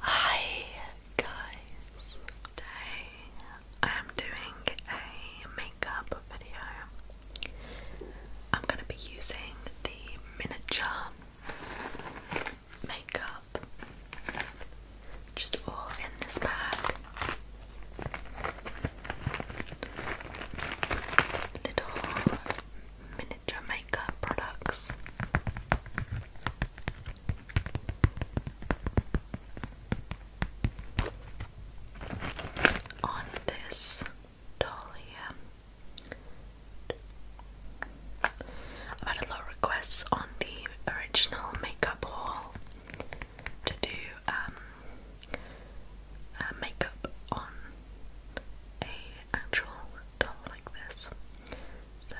Hi guys, today I am doing a makeup video. I'm going to be using the miniature makeup, which all in this bag. Little miniature makeup products on this Dahlia. Um, I've had a lot of requests on the original makeup haul to do um, makeup on a actual doll like this. So,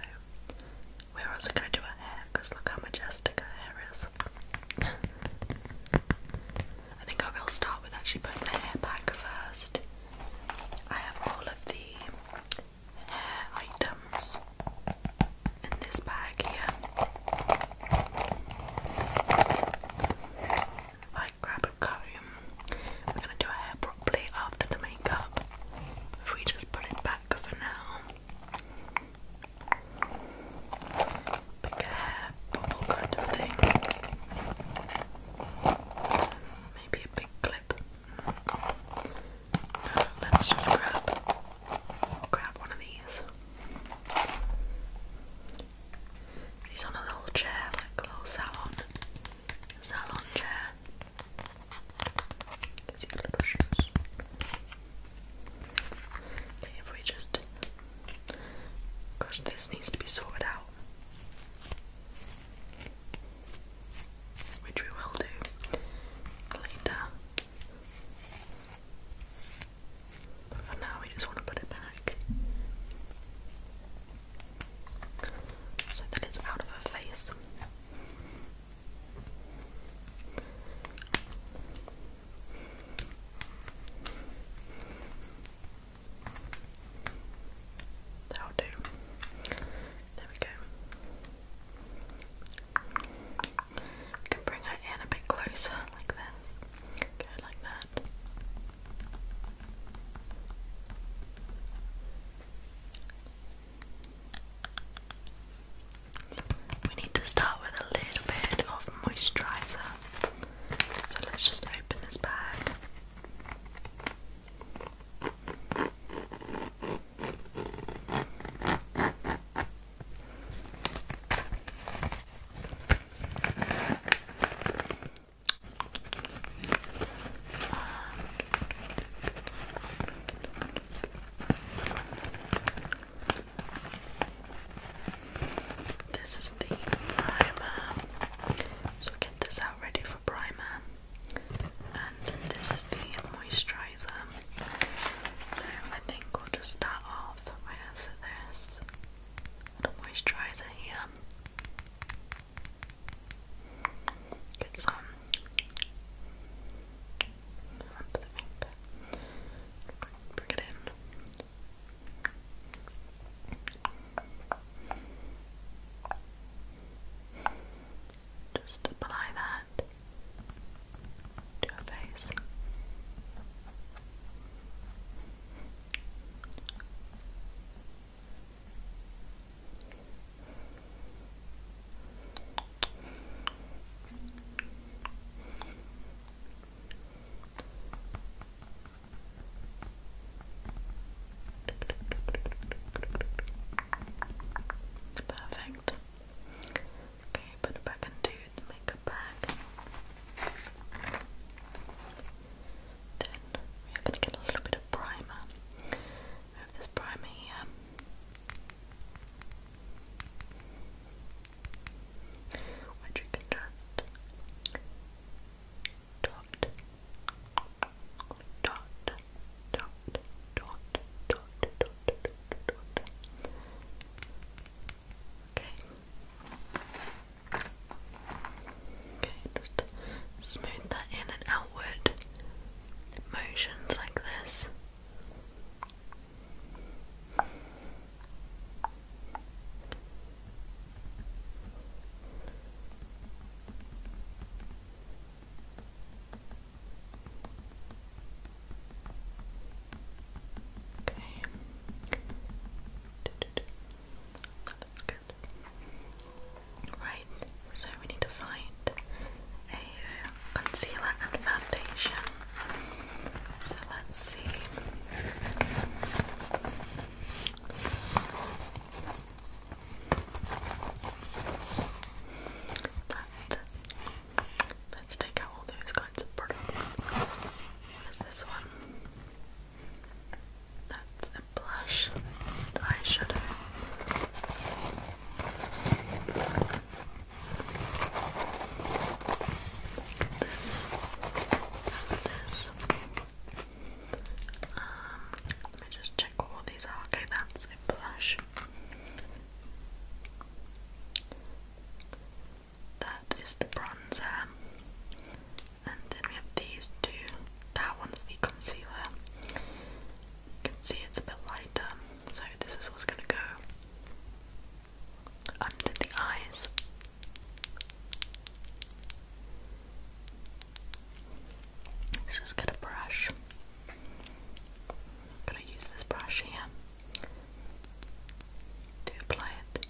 we're also going to do her hair because look how majestic her hair is. I think I will start with actually putting the hair back first. I have all of the hair items in this bag here. If I grab a comb, we're going to do our hair properly after the makeup. If we just put it back for now. Maybe a big clip. let's just grab grab one of these. He's on a little chair, like a little salon salon chair. These little shoes. if we just. Gosh, this needs to be sorted out. Which we will do later. But for now, we just want to put it back. So that it's out of her face. That'll do. There we go. We can bring her in a bit closer, like this. Go like that. We need to start with a little bit of moisturizer. So let's just open this bag. This is the primer. So get this out ready for primer. And this is the moisturizer. So I think we'll just start off with this moisturizer here. Get some onto it in. Just apply that to your face. Perfect. Okay, put it back into the makeup bag. Then we are going to get a little bit of primer. Move this primer here. Which you can dot, dot, dot, dot, dot, dot, dot. Okay. Okay, just smooth that in and outward motions like this. Okay. That's good. Right, so we need to find a uh, concealer and foundation. So let's see. let's take out all those kinds of products. What is this one? That's blush and eyeshadow. Um, let me just check what all these are. Okay, that's a blush. That is the bronzer. And then we have these two. That one's the concealer. You can see it's a bit lighter, so this is what's going to go under the eyes. Let's just get a brush. I'm going to use this brush here to apply it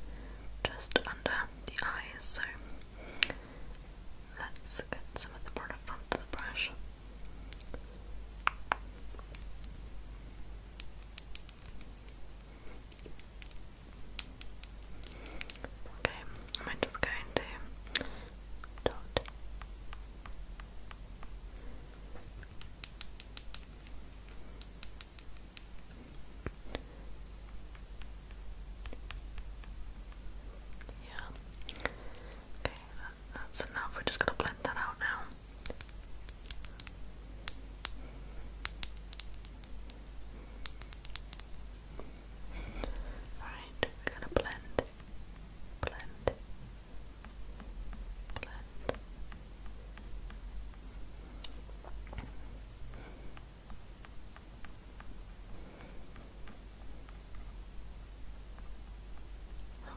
just under the eyes. So Let's get some of the product onto the brush. Okay, I'm just going to dot. Yeah. Okay, that's enough. We're just gonna blend that out now. Alright, we're gonna blend, blend, blend.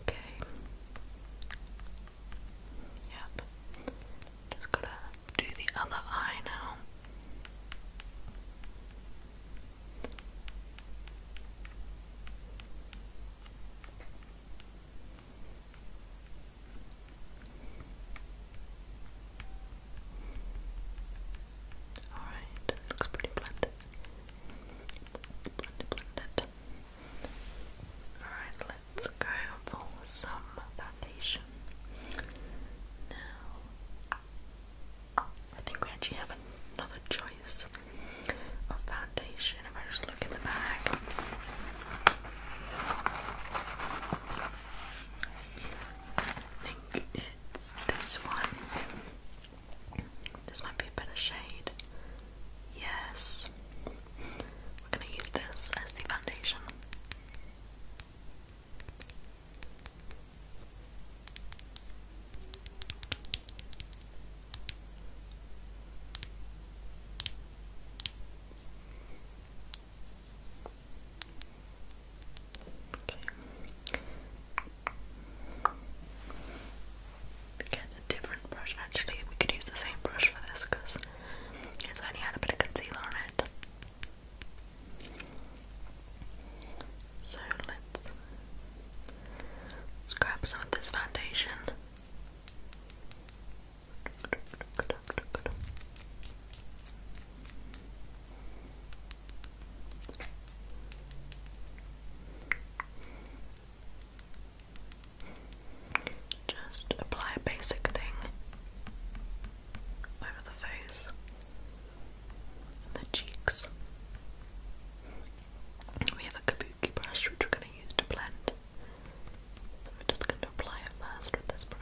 Okay. Yep. Just gotta do the other eye now. Alright, looks pretty blended. Alright, let's go for some foundation. Now, I think we actually have another choice of foundation if I just look in the bag. I think it's this one. This might be a better shade. Yes. We're going to use this as the foundation. Get a different brush. Actually, we could use the same brush for this because it's only had a bit of concealer on it. So let's grab some of this foundation. Just apply a basic thing over the face the cheeks. We have a kabuki brush which we're going to use to blend. So we're just going to apply it first with this brush.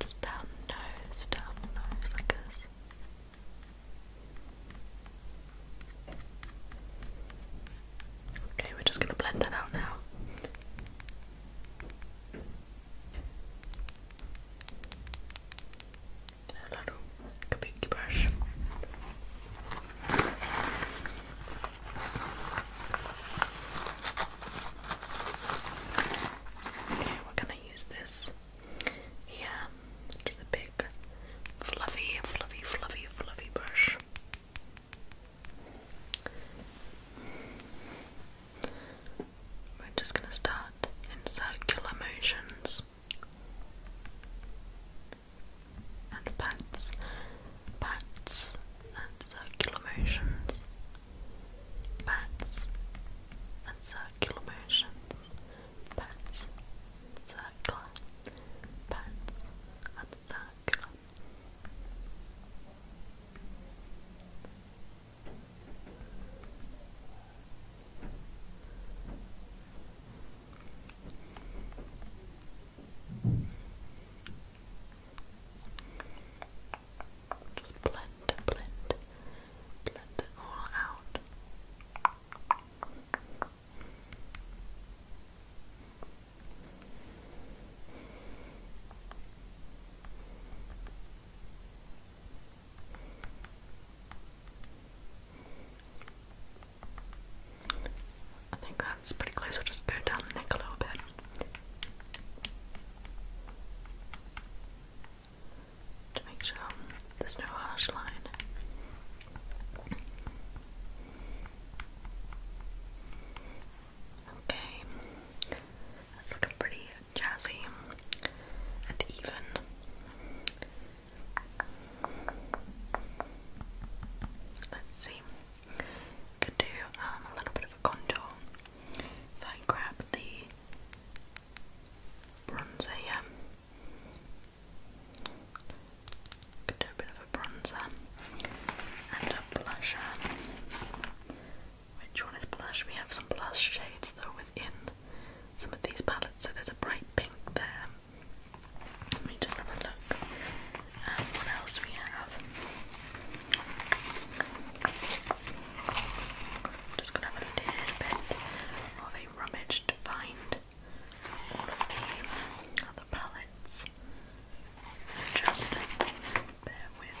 Just down the nose, down the nose like this. Okay, we're just gonna blend that out now. a little kabuki brush. Okay, we're gonna use this here, which big, fluffy, fluffy, fluffy, fluffy brush. We're just gonna start in circular motions and pats, pats and circular motions, pats and circular motions, pats, circular, pats and circular. Just blend, blend, blend it all out. I think that's pretty close. We'll just go down the neck a little bit. To make sure there's no harsh line. Okay, that's looking pretty jazzy and even. Let's see. Could do um, a little bit of a contour. If I grab the bronzer could do a bit of a bronzer and a blusher. Which one is blush? We have some blush shades though within some of these palettes. So there's a bright pink there, let me just have a look. Um, what else we have? Just gonna have a little bit of a rummage to find all of the other palettes. Just bear with.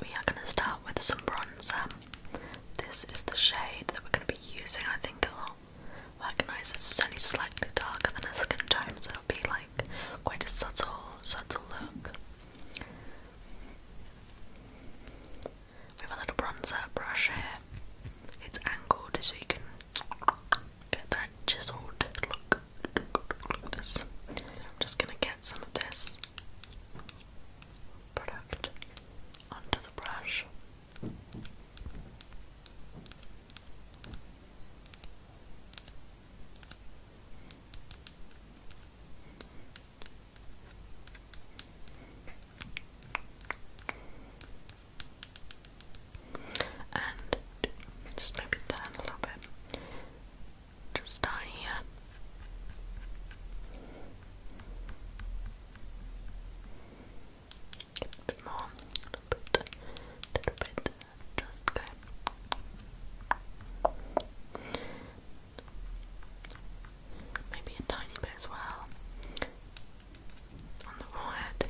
we are going to start with some bronzer. This is the shade that we're going to be using. I think you'll recognise this is only slightly darker than a skin tone, so it'll be like quite a subtle, subtle look. We have a little bronzer brush here. It's angled so you can get that chiseled look. look, look, look, look this. So I'm just gonna get some of this product onto the brush. And just maybe turn a little bit just down here. A bit more, a bit, a bit, just go. Maybe a tiny bit as well on the forehead.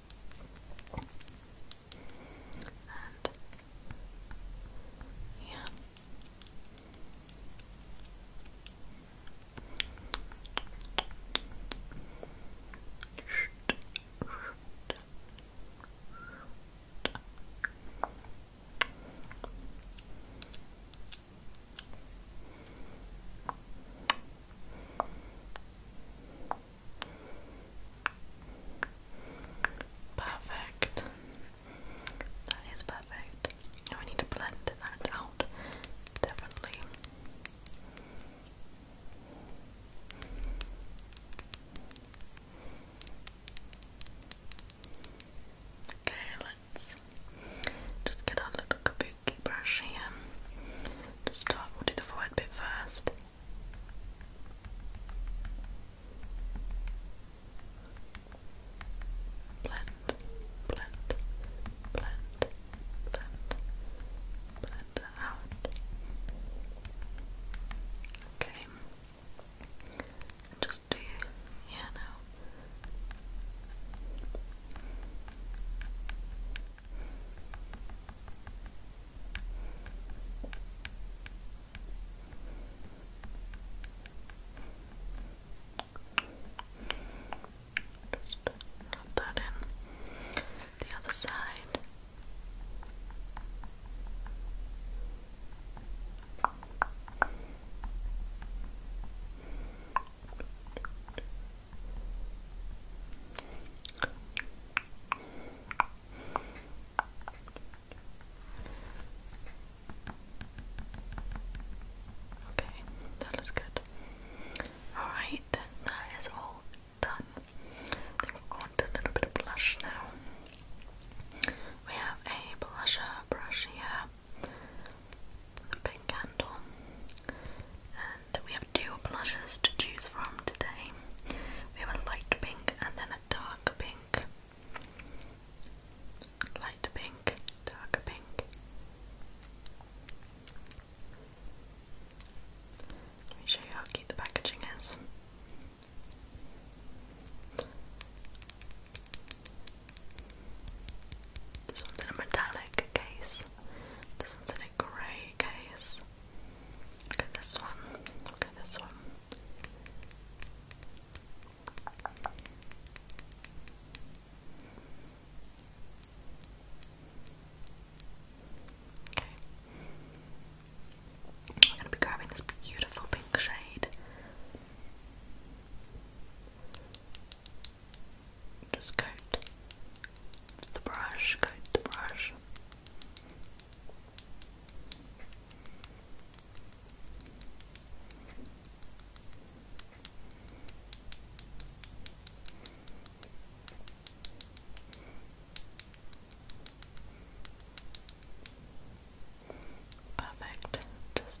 And yeah. Good. Perfect. That is perfect. Now we need to blend that out differently. Okay, let's just get our little kaboom strokey brush to start. We'll do the forward bit first. Blend, blend, blend, blend, blend out. Okay. Just do yeah now. Just rub that in. The other side. Okay, that looks good. Alright, that is all done. I we've gone to a little bit of blush now. We have a blusher brush here, with a big candle, and we have two blushes to choose from today. We have a light pink and then a dark pink. Light pink, dark pink. Let me show you how cute the packaging is. This one's in a metallic case. This one's in a grey case. Look at this one. Look at this one. Okay. I'm going to be grabbing this beautiful pink shade. Just coat the brush, coat the brush. Perfect. Just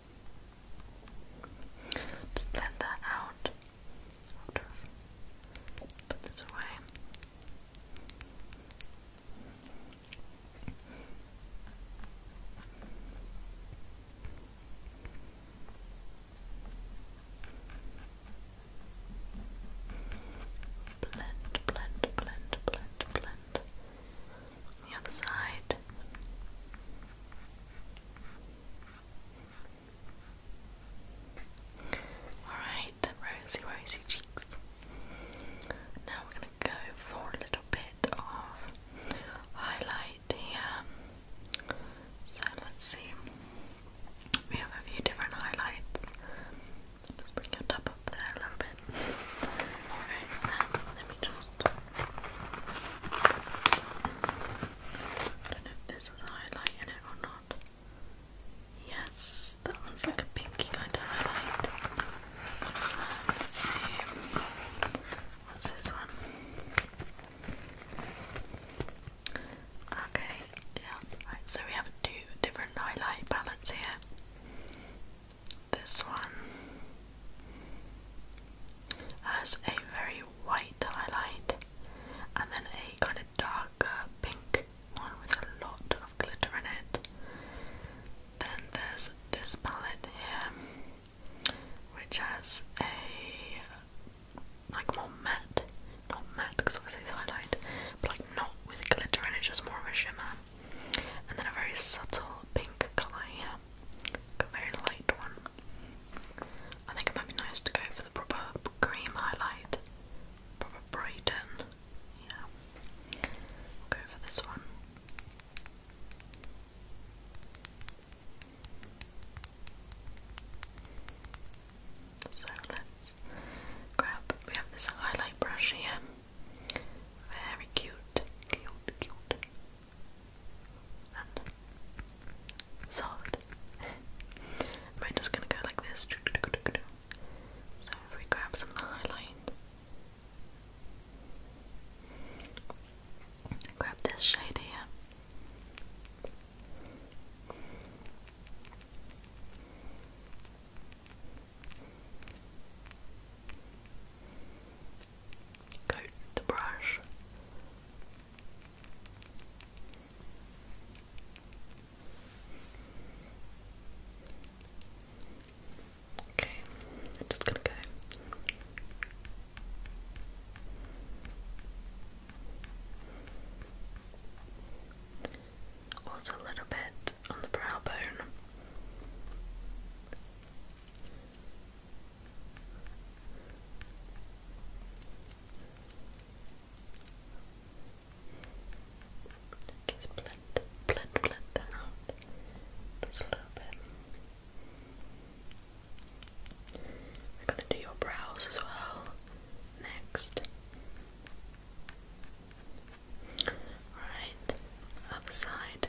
Just blend that out. Put this away. Blend, blend, blend, blend, blend the other side. Alright, rosy, rosy cheeks. Now we're going to go for a little bit of highlight here. So let's see. We have a few different highlights. Just bring your top up there a little bit. Alright, let me just. I don't know this is highlight in it or not. Yes, that one's like a pinky kind of highlight. let's see. What's this one? Okay, yeah, right, so we have two different highlight palettes here this one has a very white highlight and then a kind of darker pink one with a lot of glitter in it. Then there's this palette here which has a like more matte, not matte because obviously it's highlight, but like not with glitter in it, just more of a shimmer and then a very subtle pink colour here, a very light one. I think it might be nice to go for the proper cream highlight, proper Brighton. Yeah, go for this one. So let's grab. We have this highlight brush here. Very cute, cute, cute. And soft. I'm just gonna go like this. So if we grab some highlight, grab this shade here coat the brush. Okay, just gonna go. Also a little bit on the brow bone. Just blend, blend, blend that out just a little bit. I'm gonna do your brows as well next. Alright, other side.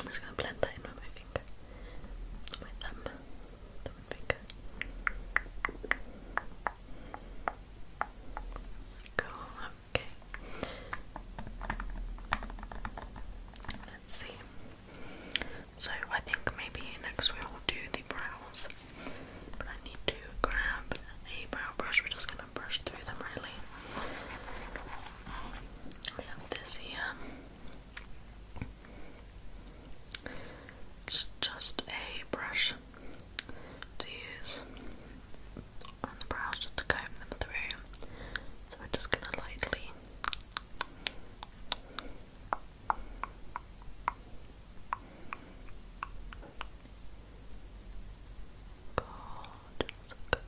I'm just going to blend that in with my finger, my thumb, thumb finger. Cool, okay. Let's see. So I think maybe next we will do the brows, but I need to grab a brow brush. We're just gonna brush through them really. We have this here. It's just a brush to use on the brows to comb them through. So we're just gonna lightly Jessica.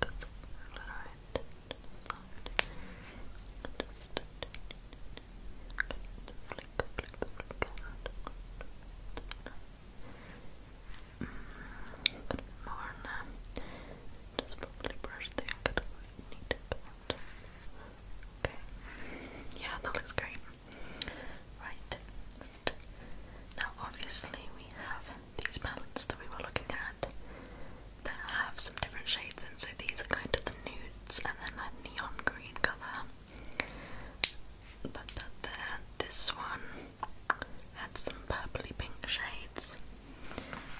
Jessica's alright. Just flick, flick, flick, flick. Mm, a bit more now. Just probably brush the angle we need to Okay. Yeah, that looks great. Right, Now, obviously, we have these pallets that we were looking at that have some different shades and so these are kind of the nudes and then a neon green colour. But that there, this one had some purpley pink shades.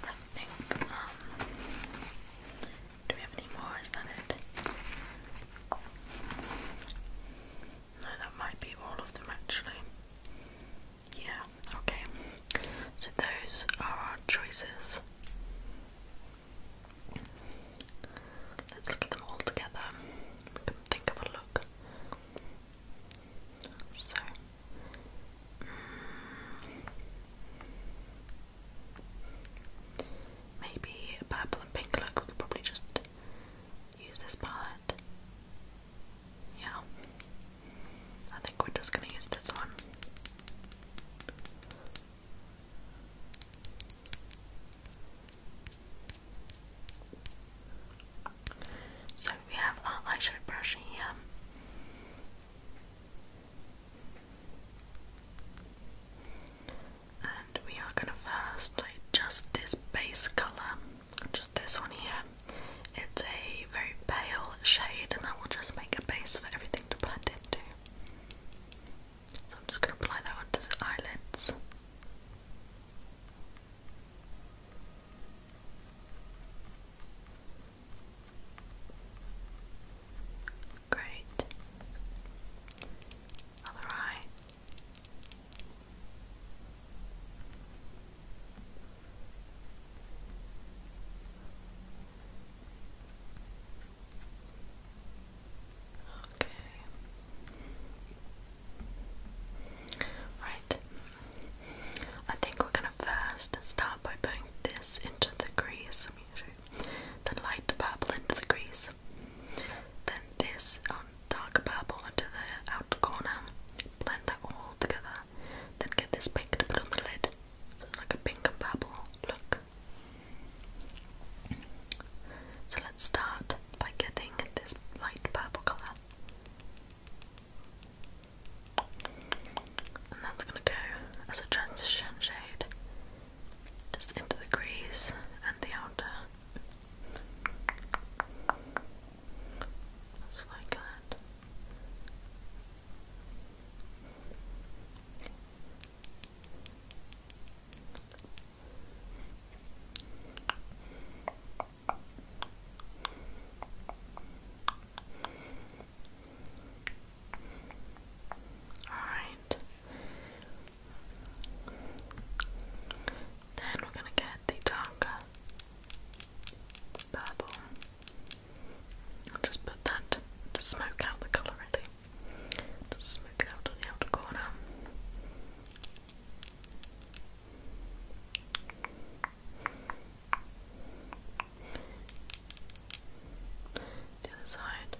I think, um, do we have any more? Is that it? No, that might be all of them actually. Yeah, okay. So those are our choices. Let's look at them all together. think of a look. So. Mm, Maybe purple and pink look, we could probably just use this palette? Yeah. I think we're just gonna use this one. So we have our eyeshadow brush here and we are gonna first just this base colour, just this one here. It's a very pale shade, and that will just make a base for everything to blend into. So I'm just gonna apply that onto the eyelids. Great. Other eye. Okay. Right. I think we're gonna first start by putting this into the grease. Then light purple into the grease. Then this on dark purple into the outer corner, blend that all together, then get this pink to put on the lid. So it's like a pink and purple look. So let's start by getting this light purple colour. And that's going to go as a transition shade just into the crease and the outer just like that. All right. Then we're gonna get the darker purple. I'll just put that to smoke out the colour really. Just smoke out to the outer corner. The other side.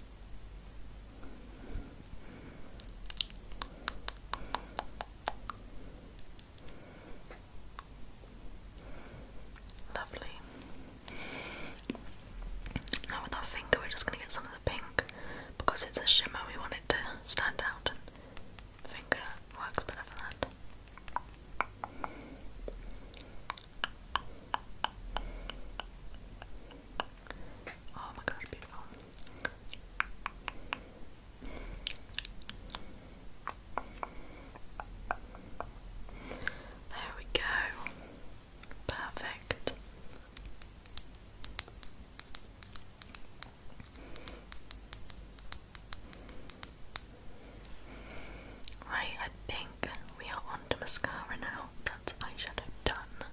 Lovely. Now with our finger we're just going to get some of the pink because it's a shimmer we want it to stand out finger works better for that. Oh my god, beautiful. There we go. Perfect. Right, I think we are on to mascara now. That's eyeshadow done.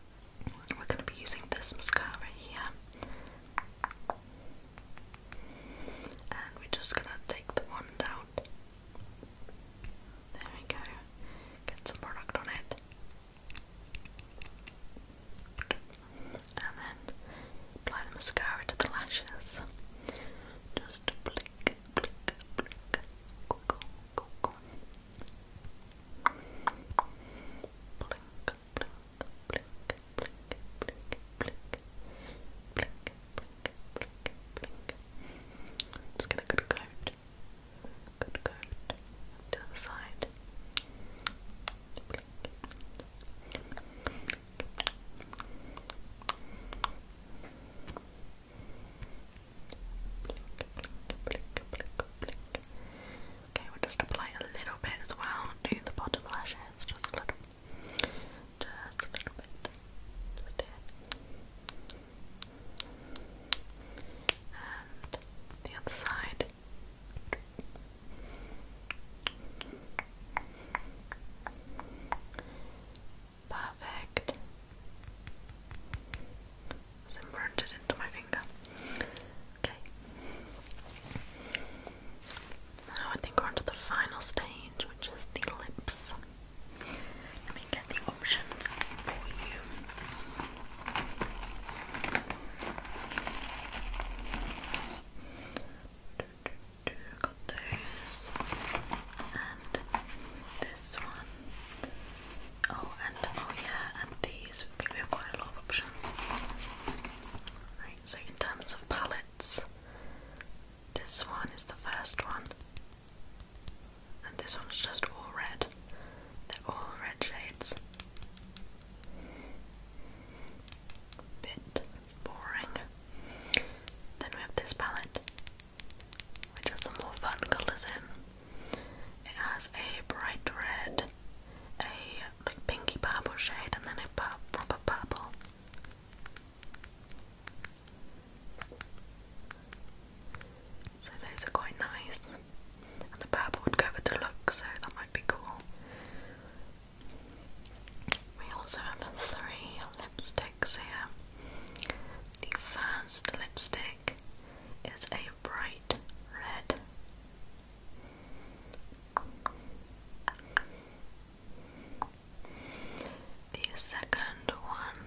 We're going to be using this mascara here. And we're just going to take the wand out. There we go. Get some product on it. And then apply the mascara to the lashes. Just blink, blink, blink. Go, go, go, Blink, blink, Just get a good coat. Good coat. To the side. Okay, we'll just apply a little bit as well to the bottom lashes, just a little, just a little bit, just here, and the other side. Perfect. It's it into my finger. Okay. Now I think we're on the final stage, which is the lips. Let me get the options for you. Got those and this one. Oh, and oh yeah, and these. We have quite a lot of options. Right, so in terms of palettes, this one is the first one, and this one's just all red. They're all red shades. Bit boring. Then we have this palette, which has some more fun colours in. It has a bright red, a like pinky purple shade, and then a pur proper purple. So those are quite nice. the purple would go with the look, so that might be cool. We also have three lipsticks here. The first lipstick is a bright red the second one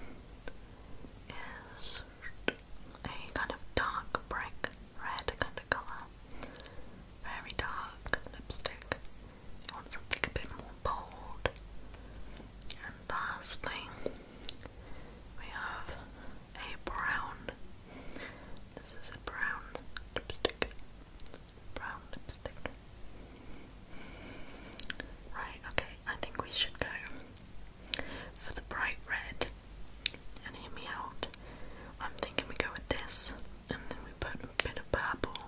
is a kind of dark brick red kind of colour. Very dark lipstick. You want something a bit more bold. And lastly, we have a brown. This is a brown lipstick. Brown lipstick. Right, okay, I think we should go for the bright red. And hear me out. I'm thinking we go with this, and then we put a bit of purple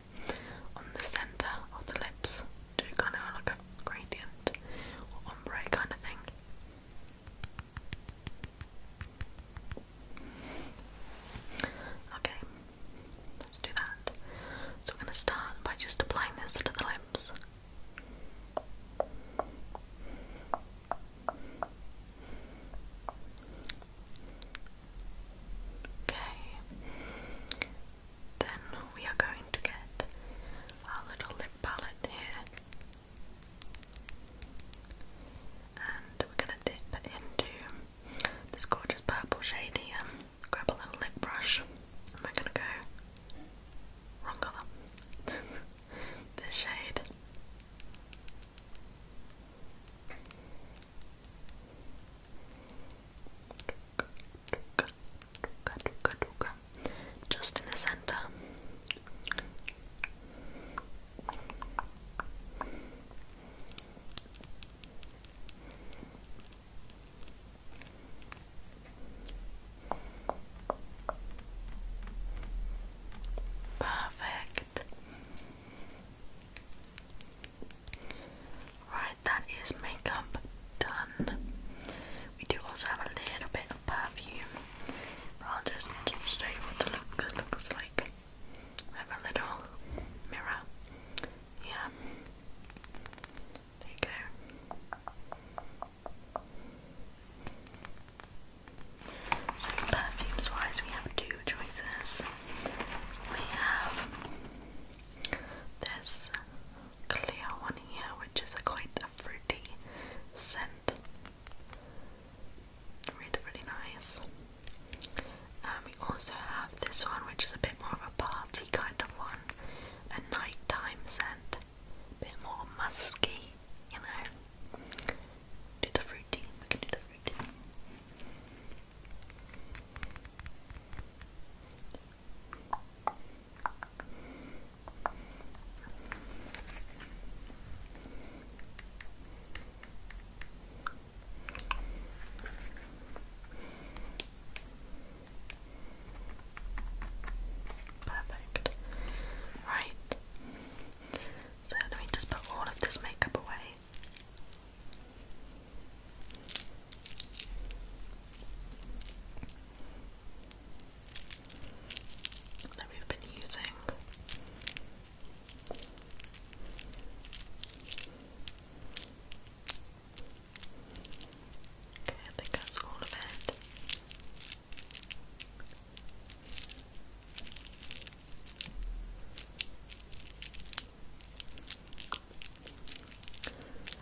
on the centre of the lips. Do kind of like a gradient ombre kind of thing. Okay, let's do that. So we're going to start by just applying this to the lips. Okay, then we are going to get our little lip palette here and we're going to dip into this gorgeous purple shade here. Grab a little lip brush. And we going to go wrong colour. this shade just in the center. Perfect. Right, that is makeup done. We do also have a little bit of perfume rather than straight what the look looks like. I have a little mirror. Yeah. There you go. So perfumes wise we have two choices. We have this clear one here which is a quite fruity scent Really, really nice. Um, we also have this one, which is a bit more of a party kind of one, a nighttime scent, a bit more musky, you know. Do the fruity, we can do the fruity. Perfect. Right. So let me just put all of this makeup away that we've been using. Okay, I think all of it.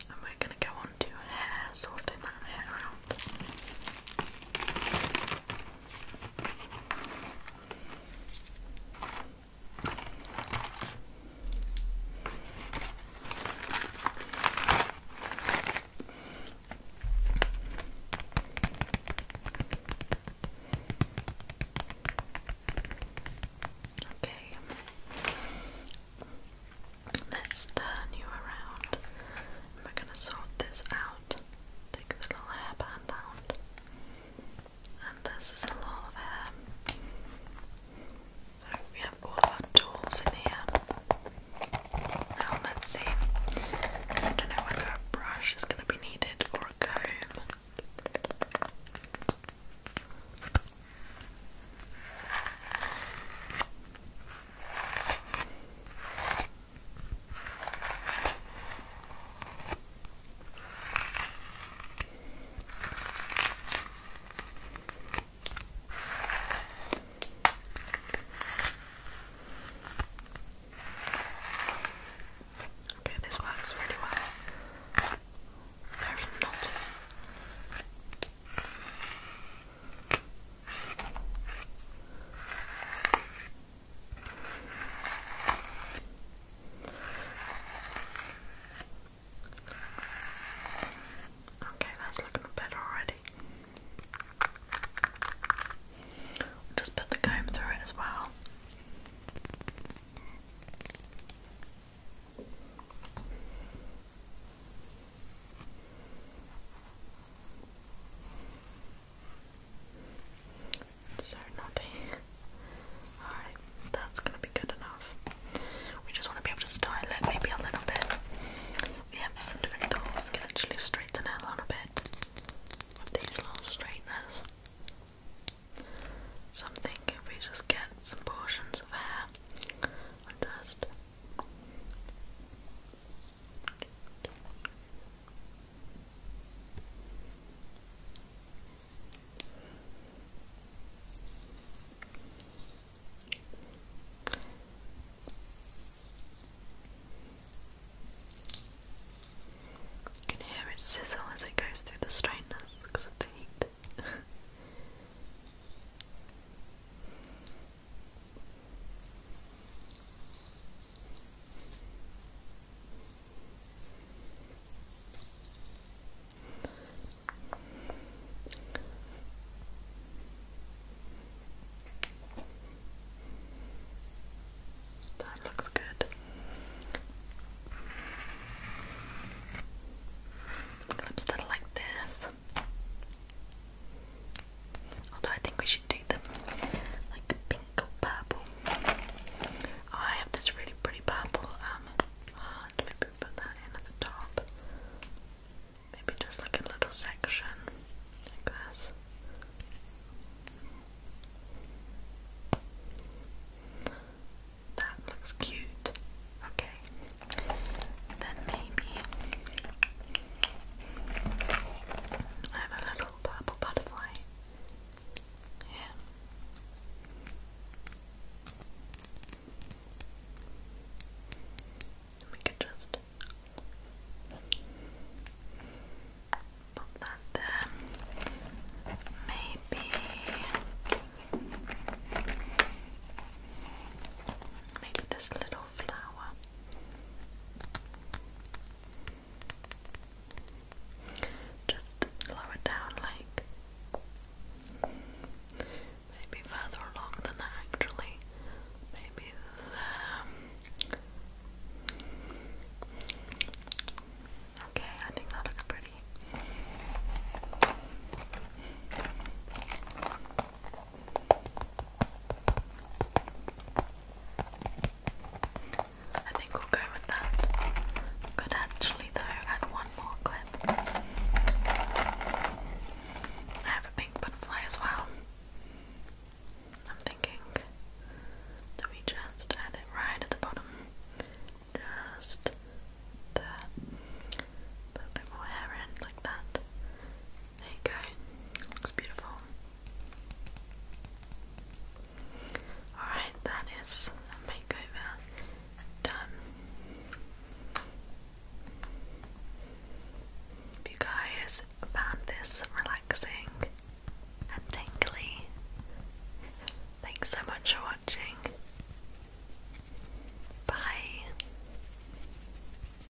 And we're going to go on hair, sorting that hair out. Okay, let's turn you around we're gonna sort this out. Take the little hairband out. And this is a lot of hair. So we have all our tools in here. Now let's see. I don't know whether a brush is gonna be needed or a comb. Okay, this works really well. Very knotty. Okay, that's looking better already. just put the comb through it as well. So nothing. Alright, that's gonna be good enough. We just wanna be able to style it maybe a little bit. We have some different tools, can actually straighten it a little bit with these little straighteners. So I'm thinking if we just get some portions of hair and just you can hear it sizzle as it goes through the strainers because of the heat. That looks good. Some that are like this. Although I think we should do them like pink or purple. Oh, I have this really pretty purple um Maybe put that in the top. Maybe just like a little section like That looks cute. Okay. Then maybe I'm a little purple butterfly. Yeah. We could just put that there. Maybe maybe this little flower. Just lower down, like maybe further along than that, actually. Maybe there. Okay, I think that looks pretty. I think we'll go with that. Could actually, though, add one more clip. I have a pink butterfly as well. I'm thinking that we just add it right at the bottom. Just there. a bit more hair in like that. There you go. Looks beautiful. Alright, that is a makeover done. If you guys found this relaxing and tingly, thanks so much for watching. Bye.